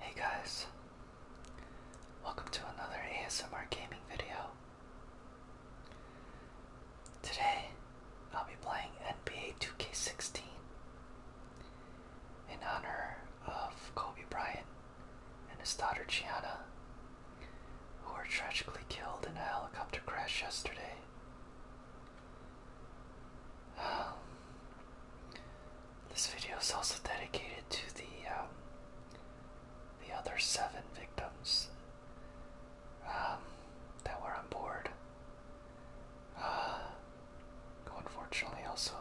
Hey guys, welcome to another ASMR gaming video. Today I'll be playing NBA 2K16 in honor of Kobe Bryant and his daughter Gianna who were tragically killed in a helicopter crash yesterday. Um, this video is also dedicated to the um, the other seven victims um, that were on board, uh, who unfortunately also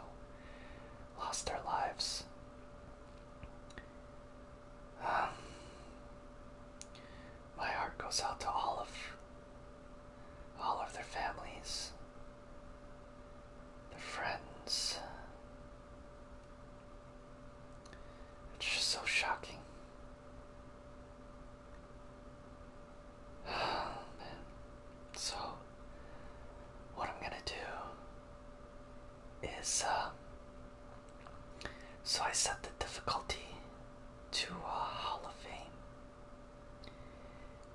lost their lives. Um, my heart goes out to all of all of their families, their friends. It's just so shocking. So, what I'm gonna do is uh, so I set the difficulty to uh, Hall of Fame,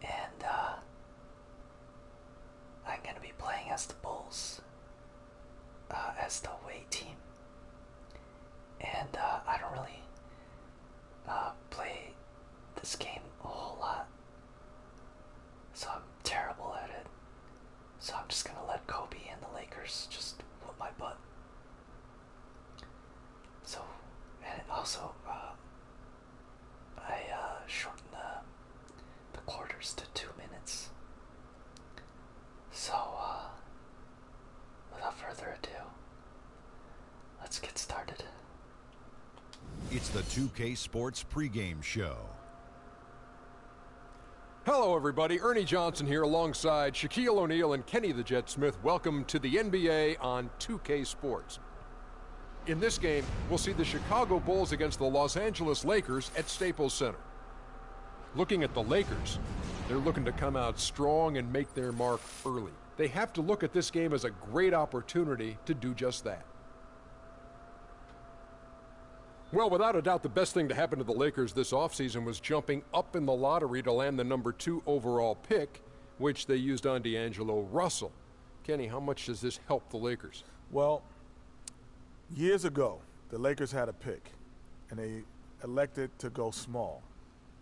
and uh, I'm gonna be playing as the Bulls, uh, as the away team, and I don't really play this game a whole lot, so I'm terrible at it. So I'm just gonna let Kobe and the Lakers just whoop my butt. So, and also, uh, I uh, shortened the, the quarters to two minutes. So, uh, without further ado, let's get started. It's the 2K Sports pregame show. Hello, everybody. Ernie Johnson here alongside Shaquille O'Neal and Kenny the Jet Smith. Welcome to the NBA on 2K Sports. In this game, we'll see the Chicago Bulls against the Los Angeles Lakers at Staples Center. Looking at the Lakers, they're looking to come out strong and make their mark early. They have to look at this game as a great opportunity to do just that. Well, without a doubt, the best thing to happen to the Lakers this offseason was jumping up in the lottery to land the number two overall pick, which they used on D'Angelo Russell. Kenny, how much does this help the Lakers? Well, years ago, the Lakers had a pick, and they elected to go small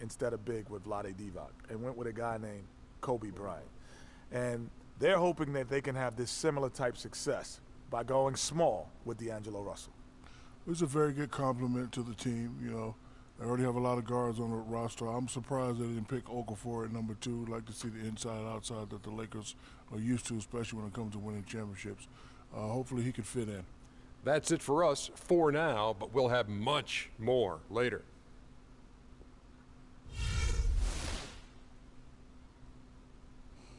instead of big with Vlade Divac and went with a guy named Kobe Bryant. And they're hoping that they can have this similar type success by going small with D'Angelo Russell it was a very good compliment to the team. You know, I already have a lot of guards on the roster. I'm surprised they didn't pick Okafor at number two. Like to see the inside outside that the Lakers are used to, especially when it comes to winning championships. Uh, hopefully, he can fit in. That's it for us for now, but we'll have much more later.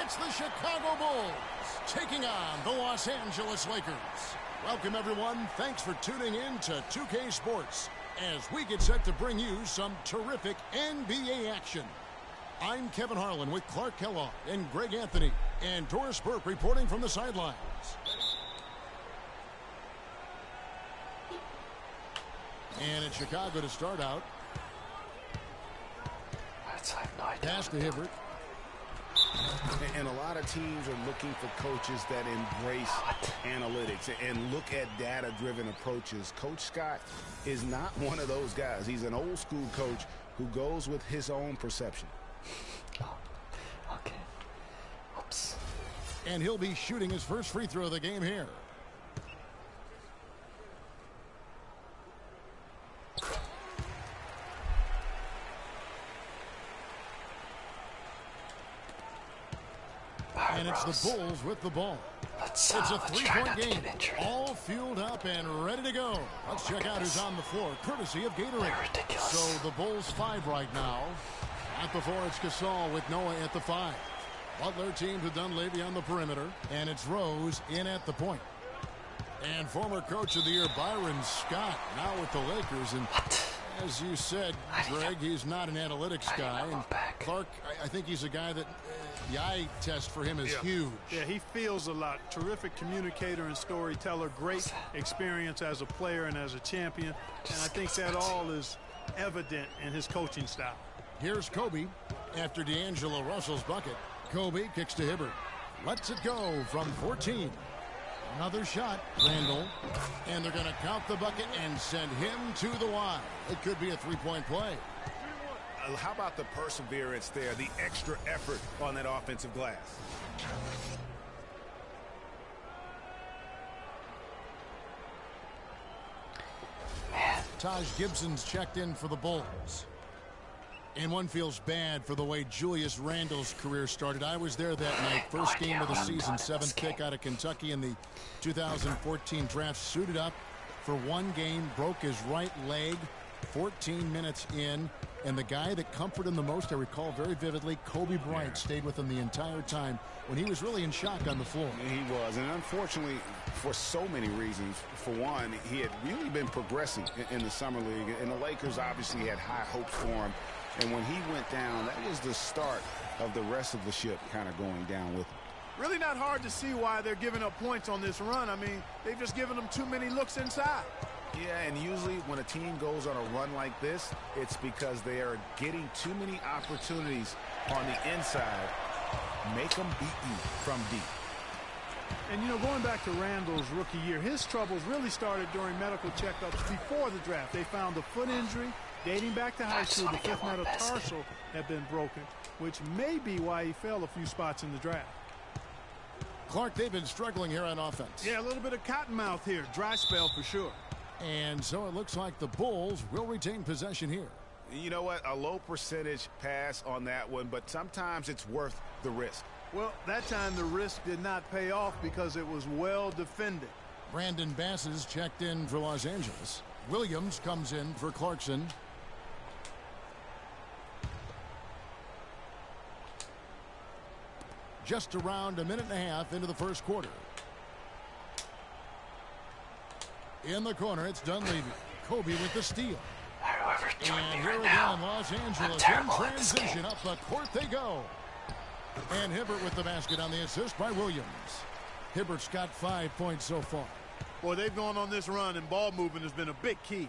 It's the Chicago Bulls taking on the Los Angeles Lakers. Welcome, everyone. Thanks for tuning in to 2K Sports as we get set to bring you some terrific NBA action. I'm Kevin Harlan with Clark Kellogg and Greg Anthony and Doris Burke reporting from the sidelines. And in Chicago to start out. That's I have no idea. Pass to Hibbert. And a lot of teams are looking for coaches that embrace analytics and look at data-driven approaches. Coach Scott is not one of those guys. He's an old-school coach who goes with his own perception. Oh, okay. Oops. And he'll be shooting his first free throw of the game here. And it's the Bulls with the ball. Let's, uh, it's a three-point game. All fueled up and ready to go. Let's check out who's on the floor, courtesy of Gatorade. they So the Bulls five right now. Back before it's Gasol with Noah at the five. Butler team to Dunleavy on the perimeter, and it's Rose in at the point. And former coach of the year Byron Scott now with the Lakers. And as you said, Greg, he's not an analytics guy. Clark, I, think he's a guy that uh, the eye test for him is huge. Yeah, he feels a lot. Terrific communicator and storyteller. Great experience as a player and as a champion. And I think that all is evident in his coaching style. Here's Kobe after D'Angelo Russell's bucket. Kobe kicks to Hibbert. lets it go from 14. Another shot, Randall. And they're going to count the bucket and send him to the Y. It could be a three-point play. Uh, how about the perseverance there, the extra effort on that offensive glass? Taj Gibson's checked in for the Bulls. And one feels bad for the way Julius Randall's career started. I was there that night, first game of the season, seventh pick out of Kentucky in the 2014 draft. Suited up for one game, broke his right leg, 14 minutes in, and the guy that comforted him the most, I recall very vividly, Kobe Bryant stayed with him the entire time when he was really in shock on the floor. He was, and unfortunately, for so many reasons, for one, he had really been progressing in the summer league, and the Lakers obviously had high hopes for him. And when he went down, that was the start of the rest of the ship kind of going down with him. Really not hard to see why they're giving up points on this run. I mean, They've just given them too many looks inside. Yeah, and usually when a team goes on a run like this, it's because they are getting too many opportunities on the inside. Make them beat you from deep. And, you know, going back to Randall's rookie year, his troubles really started during medical checkups before the draft. They found a foot injury dating back to high school. The fifth metatarsal had been broken, which may be why he fell a few spots in the draft. Clark, they've been struggling here on offense. Yeah, a little bit of cottonmouth here. Dry spell for sure. And so it looks like the Bulls will retain possession here. You know what? A low percentage pass on that one, but sometimes it's worth the risk. Well, that time the risk did not pay off because it was well defended. Brandon Basses checked in for Los Angeles. Williams comes in for Clarkson. Just around a minute and a half into the first quarter. In the corner, it's Dunleavy. Kobe with the steal. Whoever joined me right Los Angeles in transition. Up the court they go. And Hibbert with the basket on the assist by Williams. Hibbert's got five points so far. Boy, they've gone on this run, and ball movement has been a big key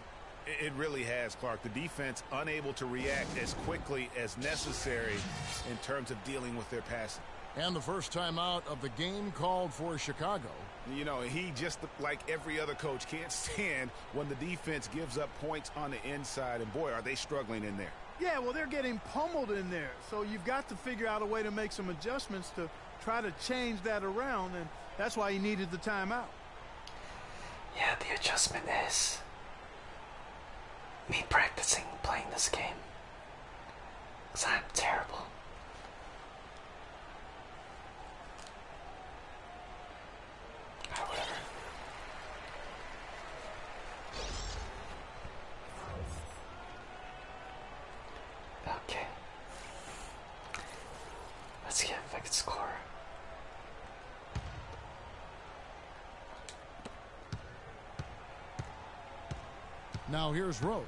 it really has, Clark. The defense unable to react as quickly as necessary in terms of dealing with their passing. And the first timeout of the game called for Chicago. You know, he just, like every other coach, can't stand when the defense gives up points on the inside. And boy, are they struggling in there. Yeah, well, they're getting pummeled in there. So you've got to figure out a way to make some adjustments to try to change that around, and that's why he needed the timeout. Yeah, the adjustment is me practicing playing this game. Because I'm terrible. Ah, okay. Let's see if I can score. Now here's Rose.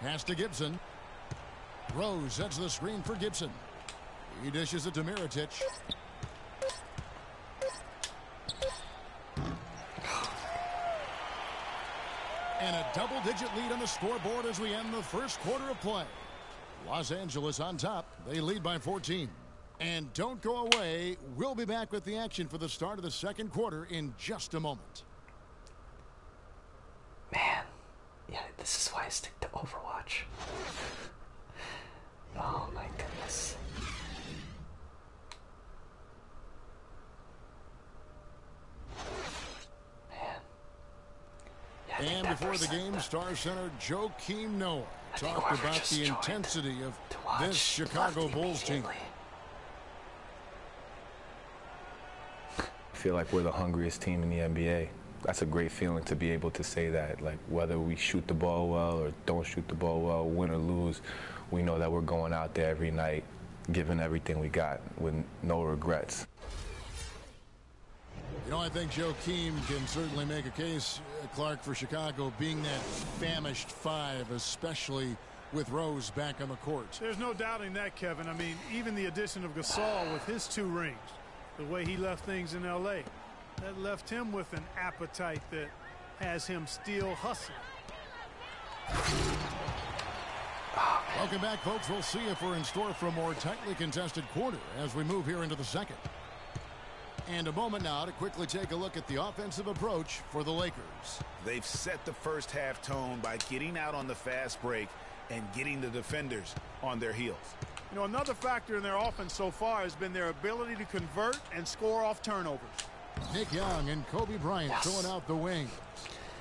Pass to Gibson. Rose sets the screen for Gibson. He dishes it to Miritich. And a double-digit lead on the scoreboard as we end the first quarter of play. Los Angeles on top. They lead by 14. And don't go away. We'll be back with the action for the start of the second quarter in just a moment. Man, yeah, this is why I stick to Overwatch. oh my goodness and before the game, Star Center Joakim Noah talked about the intensity of this Chicago Bulls team. I feel like we're the hungriest team in the NBA. That's a great feeling to be able to say that. Like whether we shoot the ball well or don't shoot the ball well, win or lose, we know that we're going out there every night Given everything we got with no regrets. You know, I think Joakim can certainly make a case, uh, Clark, for Chicago being that famished five, especially with Rose back on the court. There's no doubting that, Kevin. I mean, even the addition of Gasol with his two rings, the way he left things in L.A., that left him with an appetite that has him still hustling. Welcome back, folks. We'll see if we're in store for a more tightly contested quarter as we move here into the second. And a moment now to quickly take a look at the offensive approach for the Lakers. They've set the first half tone by getting out on the fast break and getting the defenders on their heels. You know, another factor in their offense so far has been their ability to convert and score off turnovers. Nick Young and Kobe Bryant yes. throwing out the wing.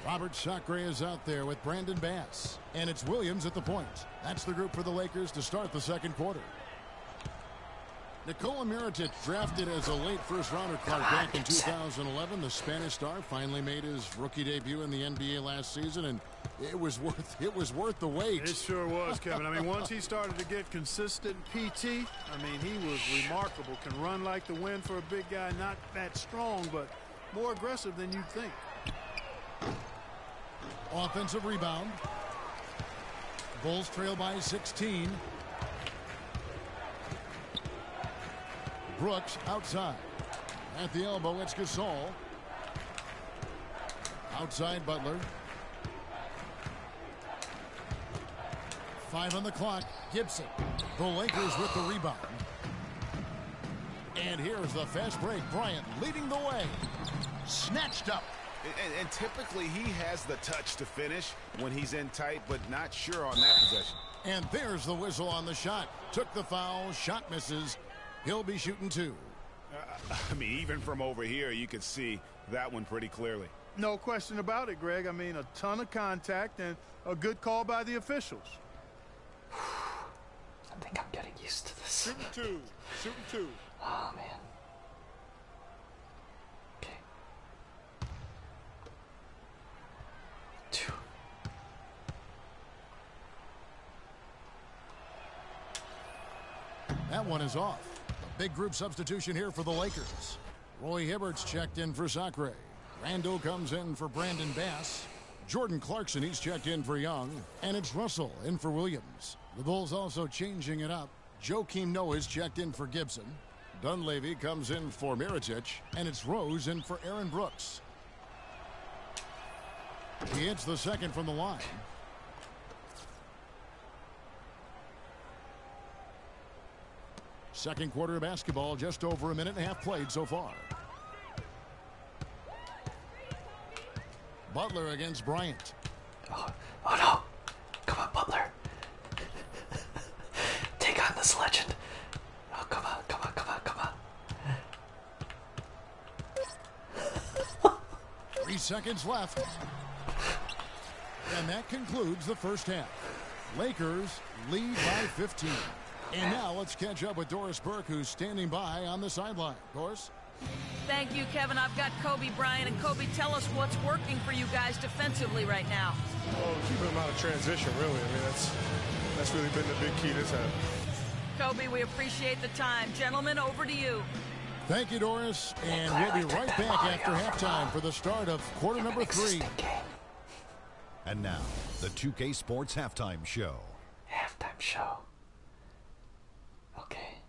Robert Chakre is out there with Brandon Bass. And it's Williams at the point. That's the group for the Lakers to start the second quarter. Nikola Mirotic, drafted as a late first-rounder back in 2011. The Spanish star finally made his rookie debut in the NBA last season, and it was worth it was worth the wait. It sure was, Kevin. I mean, once he started to get consistent PT, I mean, he was remarkable. Can run like the wind for a big guy, not that strong, but – more aggressive than you'd think. Offensive rebound. Bulls trail by 16. Brooks outside. At the elbow, it's Gasol. Outside Butler. Five on the clock. Gibson. The Lakers with the rebound. And here's the fast break. Bryant leading the way. Snatched up. And, typically he has the touch to finish when he's in tight, but not sure on that possession. And there's the whistle on the shot. Took the foul, shot misses. He'll be shooting two. Uh, I mean, even from over here, you could see that one pretty clearly. No question about it, Greg. I mean, a ton of contact and a good call by the officials. I think I'm getting used to this. Shooting two. Shooting two. Oh man. Okay. Two. That one is off. big group substitution here for the Lakers. Roy Hibbert's checked in for Sacre. Randall comes in for Brandon Bass. Jordan Clarkson, he's checked in for Young. And it's Russell in for Williams. The Bulls also changing it up. Joakim Noah's checked in for Gibson. Dunleavy comes in for Miritich. And it's Rose in for Aaron Brooks. He hits the second from the line. Second quarter of basketball, just over a minute and a half played so far. Butler against Bryant. Oh, oh no. Come on, Butler. Take on this legend. Oh, come on, come on, come on, come on. Three seconds left. And that concludes the first half. Lakers lead by 15. And now let's catch up with Doris Burke, who's standing by on the sideline. Doris? Thank you, Kevin. I've got Kobe Bryant. And Kobe, tell us what's working for you guys defensively right now. Well, oh, keeping them out of transition, really. I mean, that's, that's really been the big key this half. Kobe, we appreciate the time. Gentlemen, over to you. Thank you, Doris. And we'll be right back after halftime for the start of quarter number three. And now, the 2K Sports Halftime Show. Halftime Show. Okay.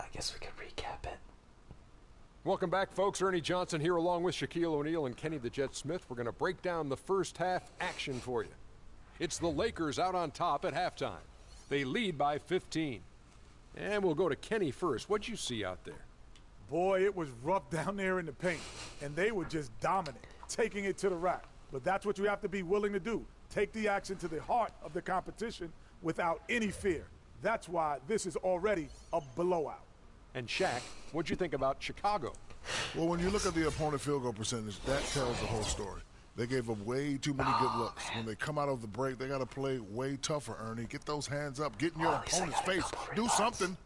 I guess we can recap it. Welcome back, folks. Ernie Johnson here along with Shaquille O'Neal and Kenny the Jet Smith. We're going to break down the first half action for you. It's the Lakers out on top at halftime. They lead by 15. And we'll go to Kenny first. What'd you see out there? Boy, it was rough down there in the paint, and they were just dominant, taking it to the rack. But that's what you have to be willing to do. Take the action to the heart of the competition without any fear. That's why this is already a blowout. And Shaq, what'd you think about Chicago? Well, when you look at the opponent field goal percentage, that tells the whole story. They gave up way too many good looks. When they come out of the break, they got to play way tougher, Ernie. Get those hands up. Get in your oh, opponent's face. Do something.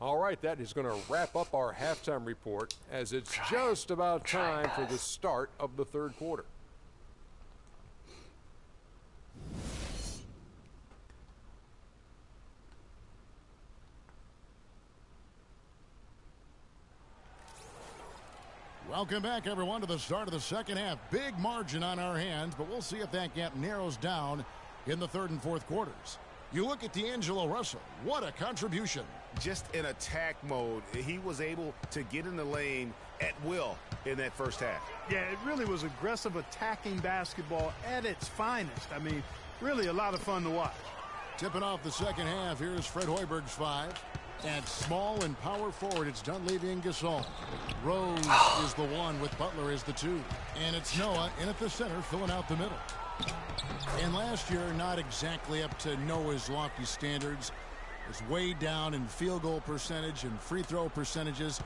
All right, that is going to wrap up our halftime report as it's just about time for the start of the third quarter. Welcome back, everyone, to the start of the second half. Big margin on our hands, but we'll see if that gap narrows down in the third and fourth quarters. You look at D'Angelo Russell. What a contribution. Just in attack mode, he was able to get in the lane at will in that first half. Yeah, it really was aggressive attacking basketball at its finest. I mean, really a lot of fun to watch. Tipping off the second half, here's Fred Hoiberg's five. At small and power forward, it's Dunleavy and Gasol. Rose is the one with Butler is the two. And it's Noah in at the center, filling out the middle. And last year, not exactly up to Noah's lofty standards. was way down in field goal percentage and free throw percentages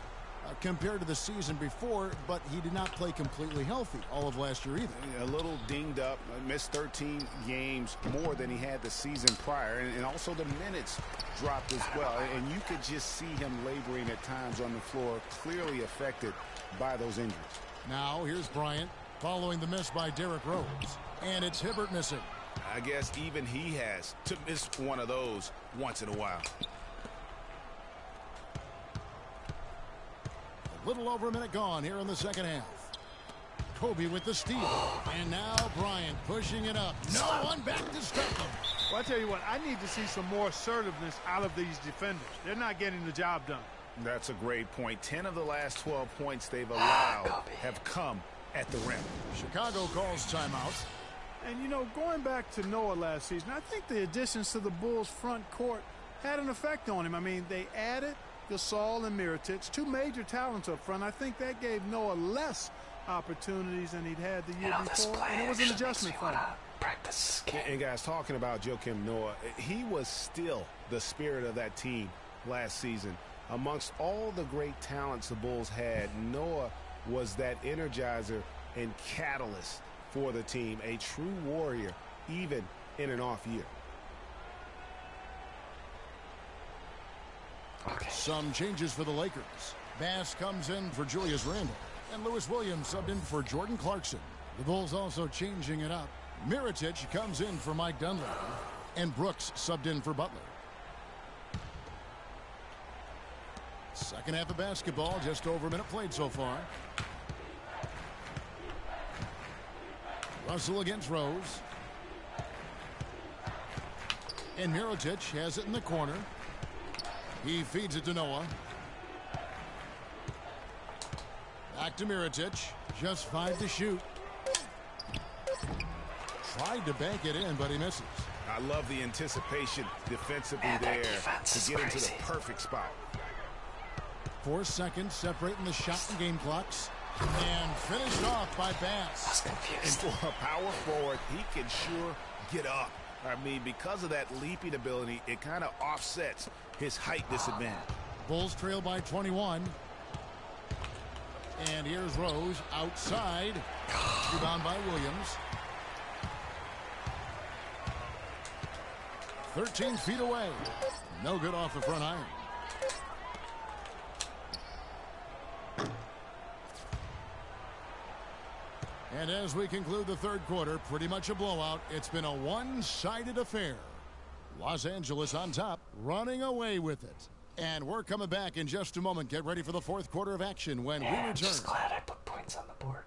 uh, compared to the season before, but he did not play completely healthy all of last year either. A little dinged up, uh, missed 13 games more than he had the season prior, and also the minutes dropped as well. And you could just see him laboring at times on the floor, clearly affected by those injuries. Now, here's Bryant following the miss by Derrick Rose. And it's Hibbert missing. I guess even he has to miss one of those once in a while. A little over a minute gone here in the second half. Kobe with the steal. And now Bryant pushing it up. No one back to stop him. Well, I tell you what, I need to see some more assertiveness out of these they're not getting the job done. That's a great point. Ten of the last 12 points they've allowed ah, have come at the rim. Chicago calls timeout. And, you know, going back to Noah last season, I think the additions to the Bulls' front court had an effect on him. I mean, they added Gasol and Miritich, two major talents up front. I think that gave Noah less opportunities than he'd had the year before, and it was an adjustment for him practice And guys, talking about Joakim Noah, he was still the spirit of that team last season. Amongst all the great talents the Bulls had, Noah was that energizer and catalyst for the team, a true warrior, even in an off year. Some changes for the Lakers. Bass comes in for Julius Randle. And Lewis Williams subbed in for Jordan Clarkson. The Bulls also changing it up. Miritich comes in for Mike Dunleavy. And Brooks subbed in for Butler. Second half of basketball, just over a minute played so far. Russell against Rose. And Mirotic has it in the corner. He feeds it to Noah. Back to Miritich. Just five to shoot. Tried to bank it in, but he misses. I love the anticipation defensively there to get into the perfect spot. Four seconds separating the shot and game clocks. And finished off by Bass. And for a power forward, he can sure get up I mean, because of that leaping ability, it kind of offsets his height disadvantage. Bulls trail by 21. And here's Rose outside. Rebound by Williams. 13 feet away. No good off the front iron. And as we conclude the third quarter, pretty much a blowout. It's been a one-sided affair. Los Angeles on top, running away with it. And we're coming back in just a moment. Get ready for the fourth quarter of action when we return. I'm just glad I put points on the board.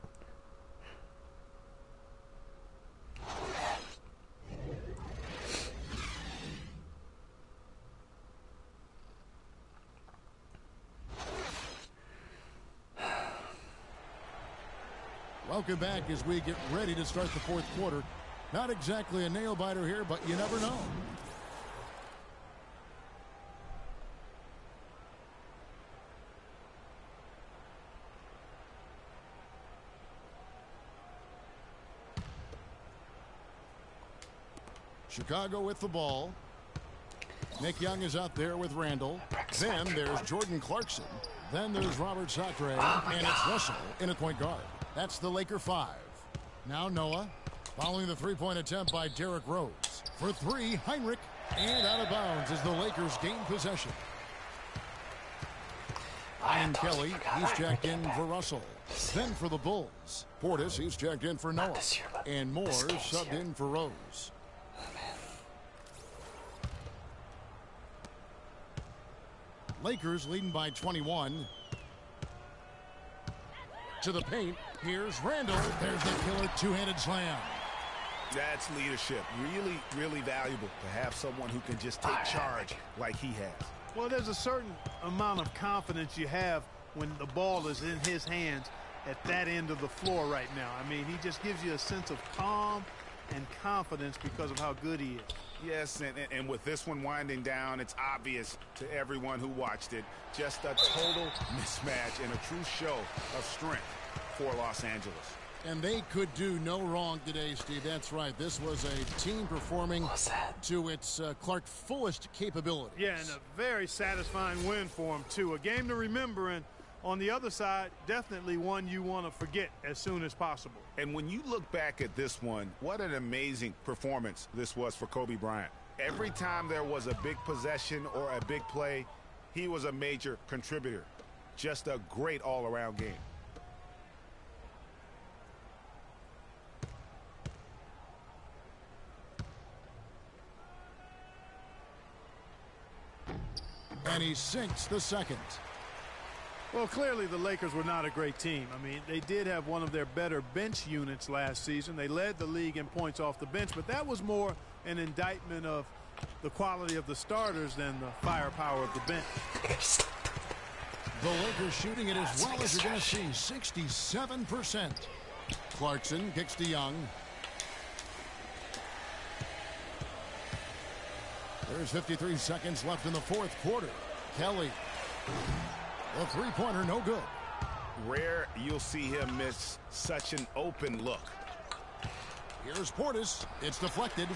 Welcome back as we get ready to start the fourth quarter. Not exactly a nail-biter here, but you never know. Chicago with the ball. Nick Young is out there with Randall. Then there's Jordan Clarkson. Then there's Robert Sacre. Oh, and it's Russell in a point guard. That's the Laker five. Now Noah. Following the three-point attempt by Derrick Rose. For three, Heinrich. And out of bounds as the Lakers gain possession. Ryan Kelly, he's checked in for Russell. Then for the Bulls. Portis, he's checked in for Noah. and Moore subbed year. in for Rose. Oh, Lakers leading by 21. To the paint, here's Randall. There's the killer two-handed slam. That's leadership. Really, really valuable to have someone who can just take charge like he has. Well, there's a certain amount of confidence you have when the ball is in his hands at that end of the floor right now. I mean, he just gives you a sense of calm and confidence because of how good he is. Yes, and, with this one winding down, it's obvious to everyone who watched it, just a total mismatch and a true show of strength for Los Angeles. And they could do no wrong today, Steve. That's right. This was a team performing to its uh, Clark fullest capability. Yeah, and a very satisfying win for them, too. A game to remember, and on the other side, definitely one you want to forget as soon as possible. And when you look back at this one, what an amazing performance this was for Kobe Bryant. Every time there was a big possession or a big play, he was a major contributor. Just a great all-around game. And he sinks the second. Well, clearly the Lakers were not a great team. I mean, they did have one of their better bench units last season. They led the league in points off the bench, but that was more an indictment of the quality of the starters than the firepower of the bench. The Lakers shooting it as well as you're going to see, 67%. Clarkson kicks to Young. There's 53 seconds left in the fourth quarter. Kelly, the three-pointer, no good. Rare you'll see him miss such an open look. Here's Portis. It's deflected.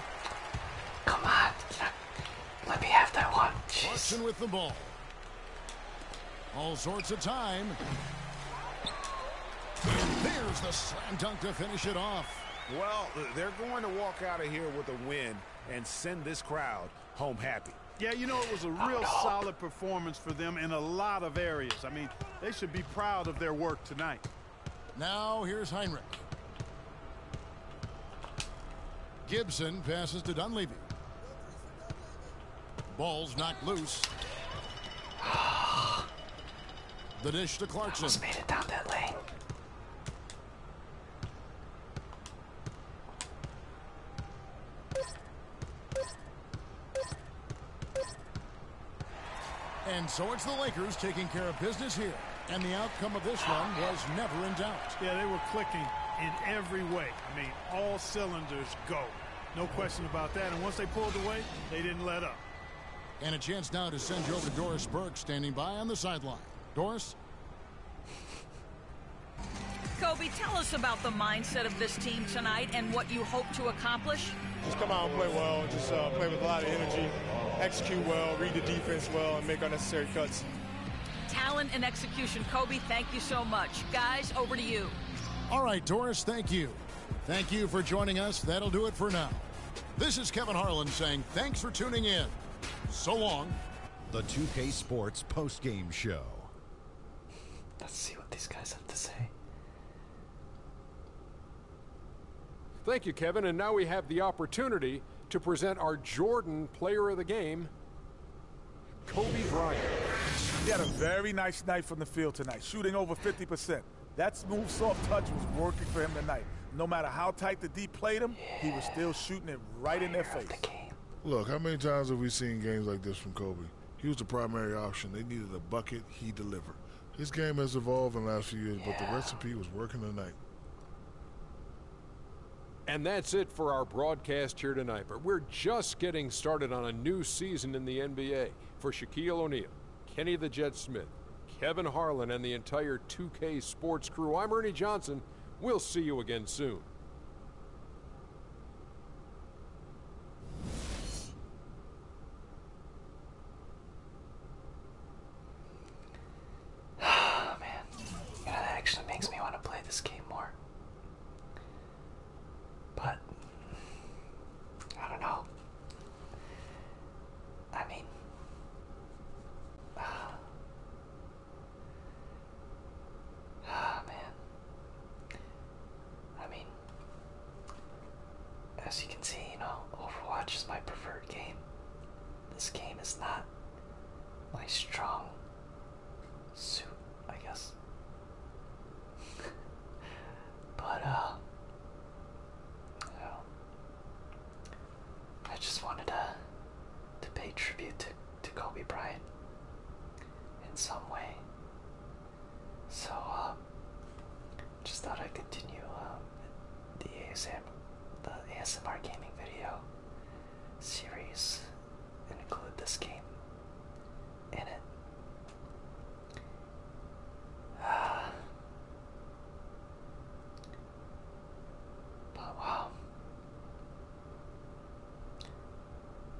Come on. Let me have that one. Jeez. with the ball. All sorts of time. And there's the slam dunk to finish it off. Well, they're going to walk out of here with a win and send this crowd home happy. Yeah, you know, it was a real solid performance for them in a lot of areas. I mean, they should be proud of their work tonight. Now, here's Heinrich. Gibson passes to Dunleavy. Ball's knocked loose. The dish to Clarkson. And so it's the Lakers taking care of business here. And the outcome of this one was never in doubt. Yeah, they were clicking in every way. I mean, all cylinders go. No question about that. And once they pulled away, they didn't let up. And a chance now to send you over to Doris Burke standing by on the sideline. Doris? Kobe, tell us about the mindset of this team tonight and what you hope to accomplish. Just come out and play well. Just uh, play with a lot of energy. Execute well, read the defense well, and make unnecessary cuts. Talent and execution. Kobe, thank you so much. Guys, over to you. All right, Doris, thank you. Thank you for joining us. That'll do it for now. This is Kevin Harlan saying thanks for tuning in. So long. The 2K Sports post-game show. Let's see what these guys have to say. Thank you, Kevin. And now we have the opportunity to present our Jordan player of the game, Kobe Bryant. He had a very nice night from the field tonight, shooting over 50%. That smooth, soft touch was working for him tonight. No matter how tight the D played him, he was still shooting it right in their face. Look, how many times have we seen games like this from Kobe? He was the primary option. They needed a bucket. He delivered. His game has evolved in the last few years, but the recipe was working tonight. And that's it for our broadcast here tonight. But we're just getting started on a new season in the NBA. For Shaquille O'Neal, Kenny the Jet Smith, Kevin Harlan, and the entire 2K sports crew. I'm Ernie Johnson. We'll see you again soon. Oh, man, that actually makes me want to play this game more. But I don't know. I mean, uh, ah, uh, man. I mean, as you can see, you know, Overwatch is my preferred game. This game is not my strong suit, I guess. but uh well, I just wanted to to pay tribute to, to Kobe Bryant in some way. So uh just thought I'd continue um, the ASM the ASMR gaming video series and include this game in it. But wow.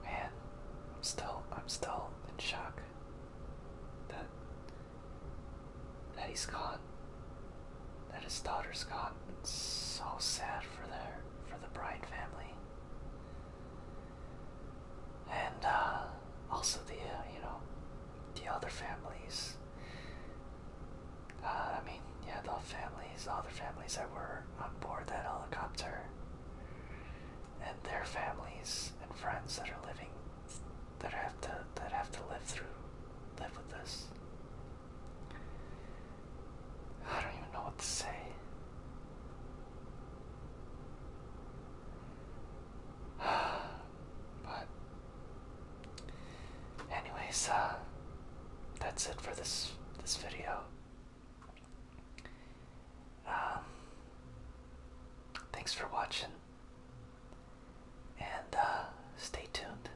Man, I'm still I'm still in shock that that he's gone. That his daughter's gone. so sad for their for the Bride family and uh, also the uh, you know the other families. Uh, I mean, yeah, the families, other families that were on board that helicopter, and their families and friends that are living, that have to that have to live through, live with this. I don't even know what to say. but anyways, uh, that's it for this this video. Um, thanks for watching, and uh, stay tuned.